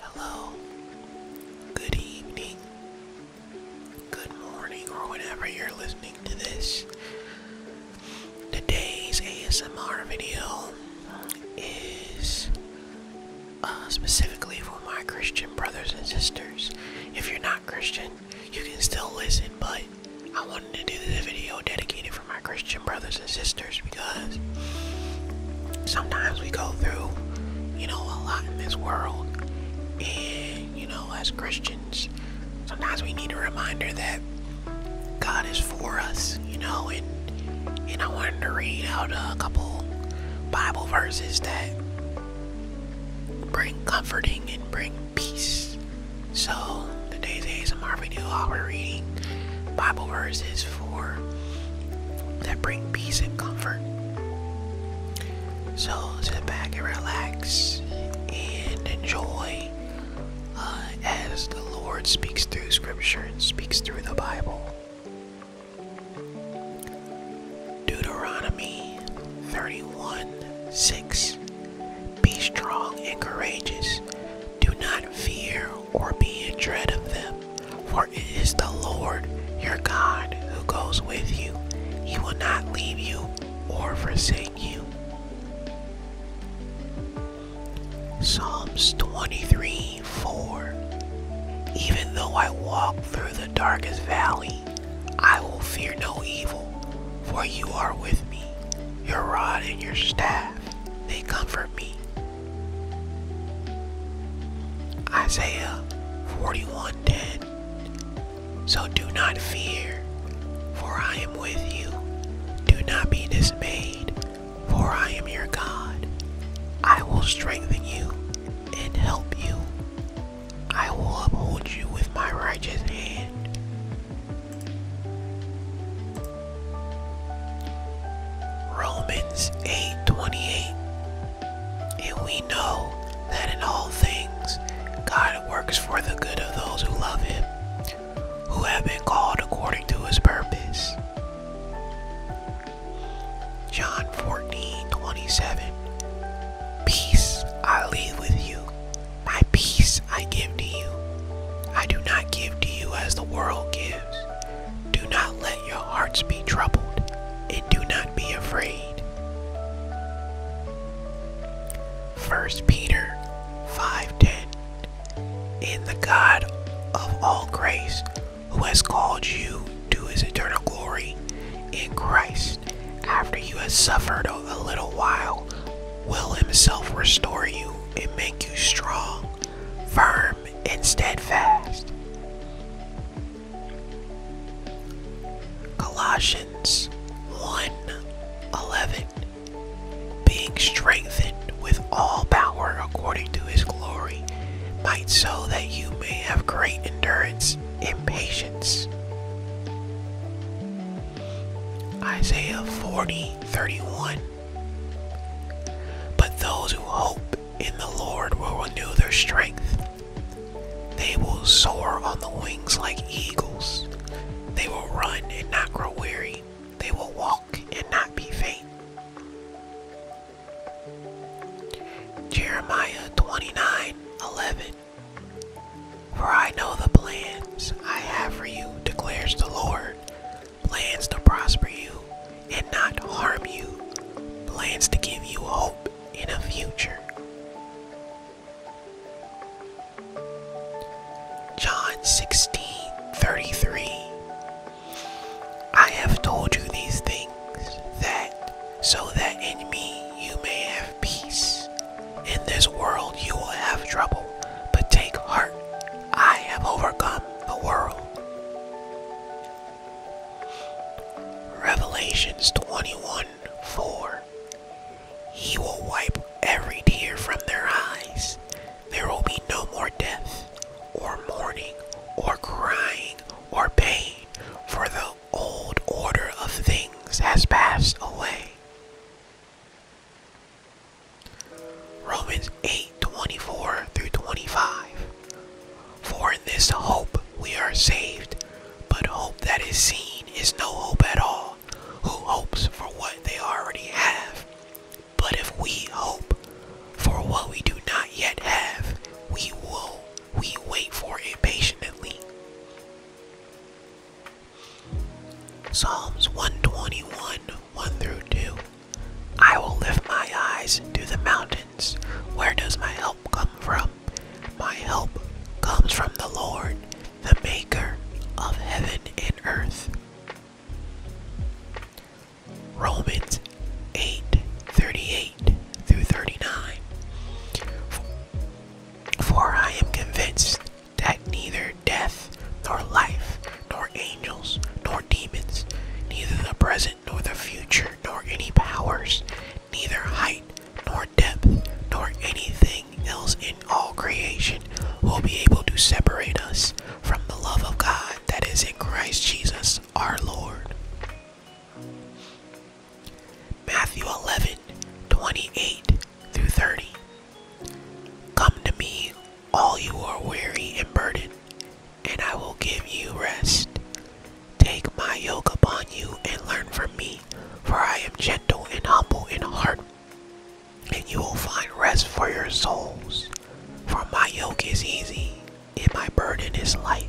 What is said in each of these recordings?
Hello, good evening, good morning, or whenever you're listening to this. Today's ASMR video is uh, specifically for my Christian brothers and sisters. If you're not Christian, you can still listen, but I wanted to do this video dedicated for my Christian brothers and sisters because sometimes we go through, you know, a lot in this world. And, you know, as Christians, sometimes we need a reminder that God is for us, you know, and and I wanted to read out a couple Bible verses that bring comforting and bring peace. So today's a ASMR video, I'll be reading Bible verses that bring peace and comfort. So sit back and relax and enjoy uh, as the Lord speaks through Scripture and speaks through the Bible. Deuteronomy 31 6 Be strong and courageous do not fear or be in dread of them, for it is the Lord your God who goes with you. He will not leave you or forsake you. Psalms 23 Even though I walk through the darkest valley, I will fear no evil, for you are with me. Your rod and your staff, they comfort me. Isaiah 41:10 So do not fear, for I am with you. Do not be dismayed, for I am your God. I will strengthen you and help you. I will uphold you with my righteous hand. Romans 8:28 And we know that in all things God works for the good of those who love him who have been called according to his purpose. John 14:27 Peace I leave with you my peace I give to you I do not give to you as the world gives do not let your hearts be troubled, and do not be afraid. 1 Peter 5:10 In the God of all grace, who has called you to his eternal glory in Christ, after you have suffered a little while, will himself restore you and make you strong firm and steadfast. Colossians one eleven. Being strengthened with all power according to his glory, might so that you may have great endurance and patience. Isaiah 40 31 but those who hope in the Lord will renew their strength. They will soar on the wings like eagles. They will run and not grow weary. They will walk and not be faint. Jeremiah twenty nine eleven. For I know the plans I have for you, declares the Lord plans to prosper you and not harm you, plans to give you hope in a future. John 16:33 I have told you these things that so that in me you may have peace. In this world you will have trouble, but take heart, I have overcome the world. Revelations 21:4. He will wipe every tear from their eyes. There will be no more death, or mourning, or crying, or pain, for the old order of things has passed away. Romans 8 24 through 25. For in this hope we are saved, but hope that is seen is no hope at all. Who hopes for what they already have? But if we hope for what we do not yet have, we will we wait for it patiently. Psalms 121 1 through 2. I will lift my eyes to the mountains. Where does my help come from? My help comes from the Lord, the maker of heaven and earth. Romans 8 38 through 39. For I am convinced that neither death, nor life, nor angels, nor demons, neither the present nor the future, nor any powers, neither height, nor depth, nor anything else in all creation will be able to separate us from the love of God that is in Christ Jesus our Lord. Matthew 11 through 30. Come to me, all you are weary and burdened, and I will give you rest. Take my yoke upon you and learn from me, for I am gentle and humble in heart, and you will find rest for your souls. For my yoke is easy, and my burden is light.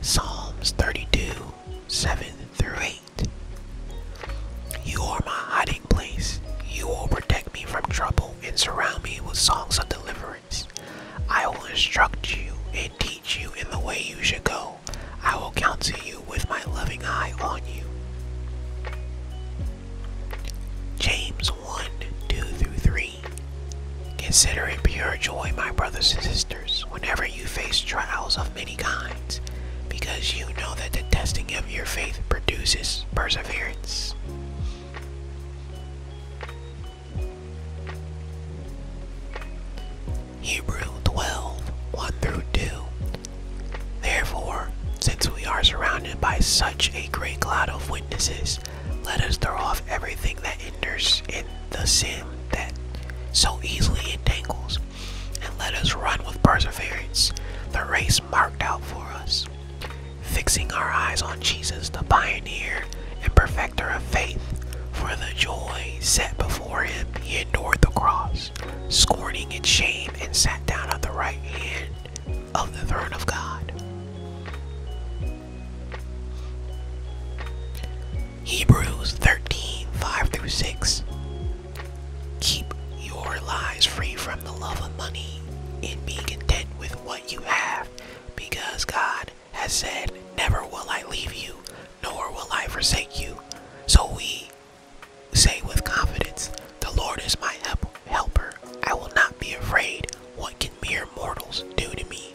Psalms 32 7 through 8. You are my hiding place. You will protect me from trouble and surround me with songs of deliverance. I will instruct you and teach you in the way you should go. I will counsel you with my loving eye on you. James 1 2 through 3. Consider it pure joy, my brothers and sisters whenever you face trials of many kinds, because you know that the testing of your faith produces perseverance. Hebrew 12 through 2. Therefore, since we are surrounded by such a great cloud of witnesses, let us throw off everything that hinders it the sin that so easily entangles, and let us run with perseverance the race marked out for us, fixing our eyes on Jesus, the pioneer and perfecter of faith. For the joy set before him, he endured the cross, scorning its shame, and sat down at the right hand of the throne of God. Hebrews 13 5 through 6. Keep your lives free from the love of money and be content with what you have, because God has said, Never will I leave you, nor will I forsake you. So we say with confidence, The Lord is my helper. I will not be afraid. What can mere mortals do to me?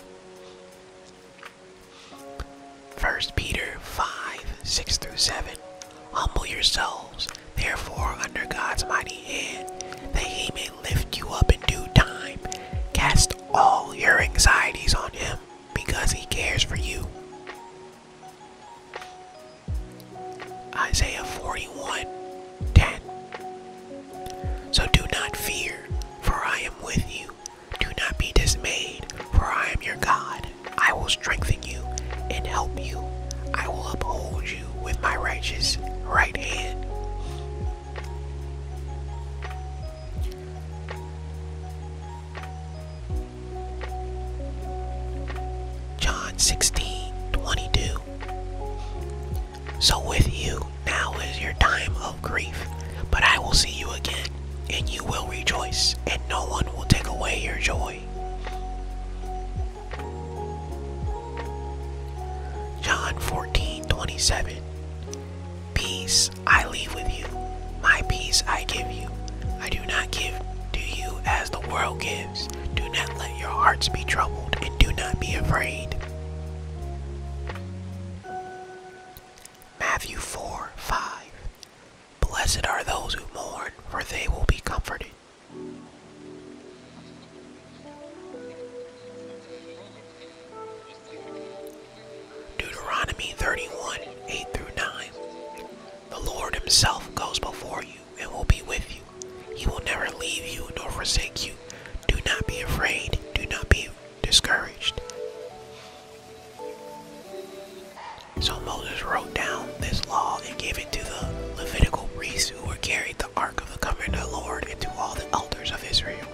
First Peter 5, 6 through 7. Humble yourselves, therefore, under God's mighty hand, that he may lift you up in due time. Cast all your anxieties on him, because he cares for you. Isaiah 41, 10. So do not fear, for I am with you. Do not be dismayed, for I am your God. I will strengthen you and help you. I will uphold you with my righteous right hand. John 16 22. So with you, now is your time of grief, but I will see you again, and you will rejoice, and no one will take away your joy. John 14, 27. Peace I leave with you, my peace I give you. I do not give to you as the world gives. Do not let your hearts be troubled, and do not be afraid. Matthew 4 5 Blessed are those who mourn, for they will be comforted. Deuteronomy 31 8 through 9 The Lord Himself goes before you and will be with you. He will never leave you nor forsake you. Do not be afraid, do not be discouraged. So Moses wrote down this law and gave it to the Levitical priests who were carried the Ark of the Covenant of the Lord and to all the elders of Israel.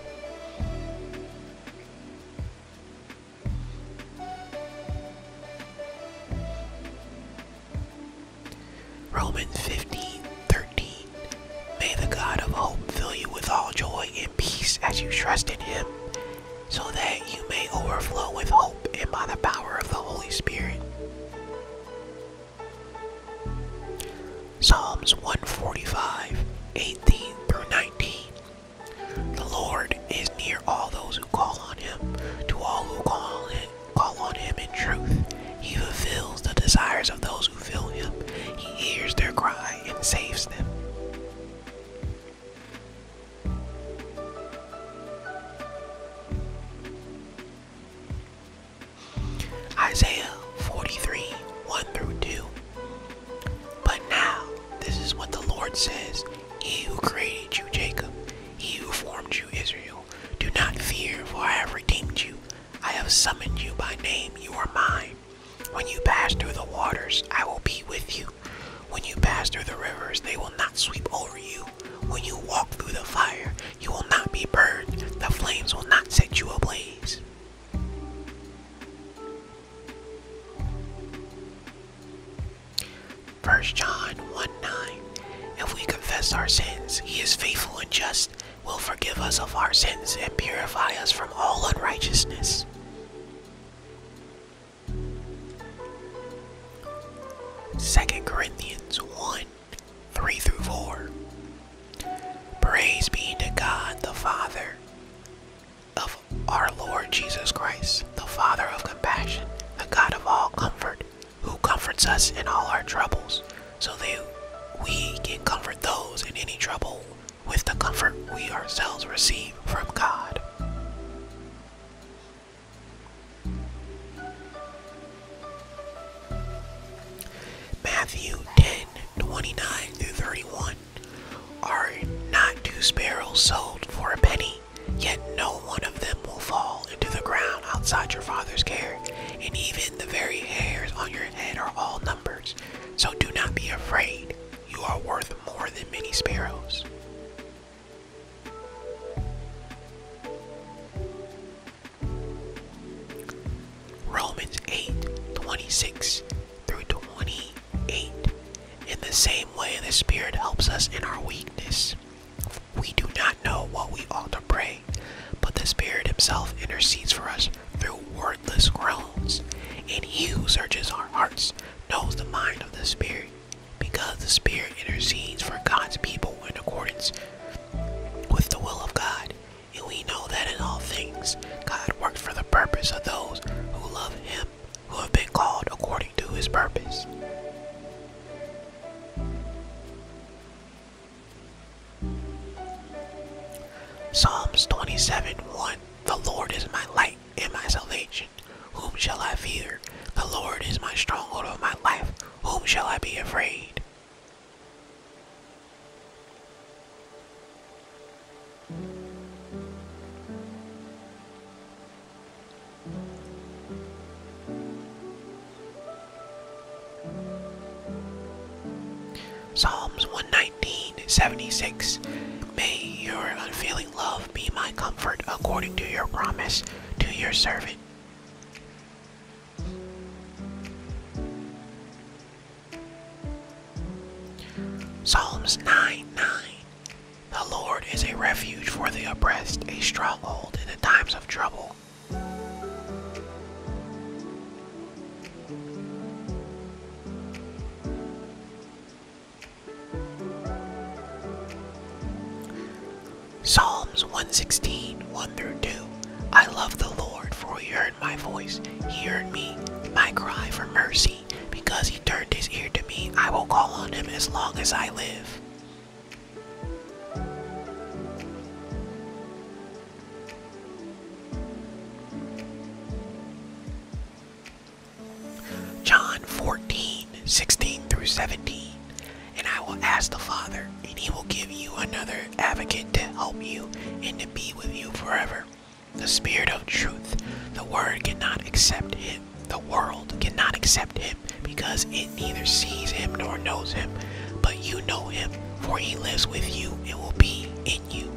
Romans 15 May the God of hope fill you with all joy and peace as you trust in him, so that you may overflow with hope and by the power of the Holy Spirit. Psalms 145, 18 through 19. The Lord is near all those who call on him, to all who call on him, call on him in truth. He fulfills the desires of those those who him. He hears their cry and saves them. Isaiah 43 1 through 2. But now, this is what the Lord says He who created you, Jacob, He who formed you, Israel. Do not fear, for I have redeemed you. I have summoned you by name, you are mine. When you pass through the waters, I will be with you. When you pass through the rivers, they will not sweep over you. When you walk through the fire, you will not be burned. The flames will not set you ablaze. First John 1 9. If we confess our sins, he is faithful and just will forgive us of our sins and purify us from all unrighteousness. Second Corinthians 1 3 through 4. Praise be to God the Father of our Lord Jesus Christ, the Father of compassion, the God of all comfort, who comforts us in all our troubles so that we can comfort those in any trouble with the comfort we ourselves receive from God. Matthew 10 through 31 Are not two sparrows sold for a penny? Yet no one of them will fall into the ground outside your father's care, and even even the very hairs on your head are all numbers, so do not be afraid. You are worth more than many sparrows. Romans 8 through 28. In the same way, the Spirit helps us in our weakness. We do not know what we ought to pray, but the Spirit Himself intercedes for us through wordless groans. And He who searches our hearts knows the mind of the Spirit, because the Spirit intercedes for God's people in accordance with the will of God. And we know that in all things, God works for the purpose of those who love Him, who have been called according to His purpose. Psalms 27 1 The Lord is my light and my salvation. Whom shall I fear? The Lord is my stronghold of my life. Whom shall I be afraid? Psalms 119, 76. May your unfailing love be my comfort according to your promise to your servant. Psalms 9, 9. The Lord is a refuge for the oppressed, a stronghold in the times of trouble. Psalms 116, 1 through 2. I love the Lord, for he heard my voice. He heard me, my cry for mercy. Because he turned his ear to me, I will call on him as long as I live. John 14, 16 through 17. And I will ask the Father, and he will give you another advocate to help you and to be with you forever. The Spirit of truth. The Word cannot accept him. The world cannot accept him because it neither sees him nor knows him, but you know him, for he lives with you and will be in you.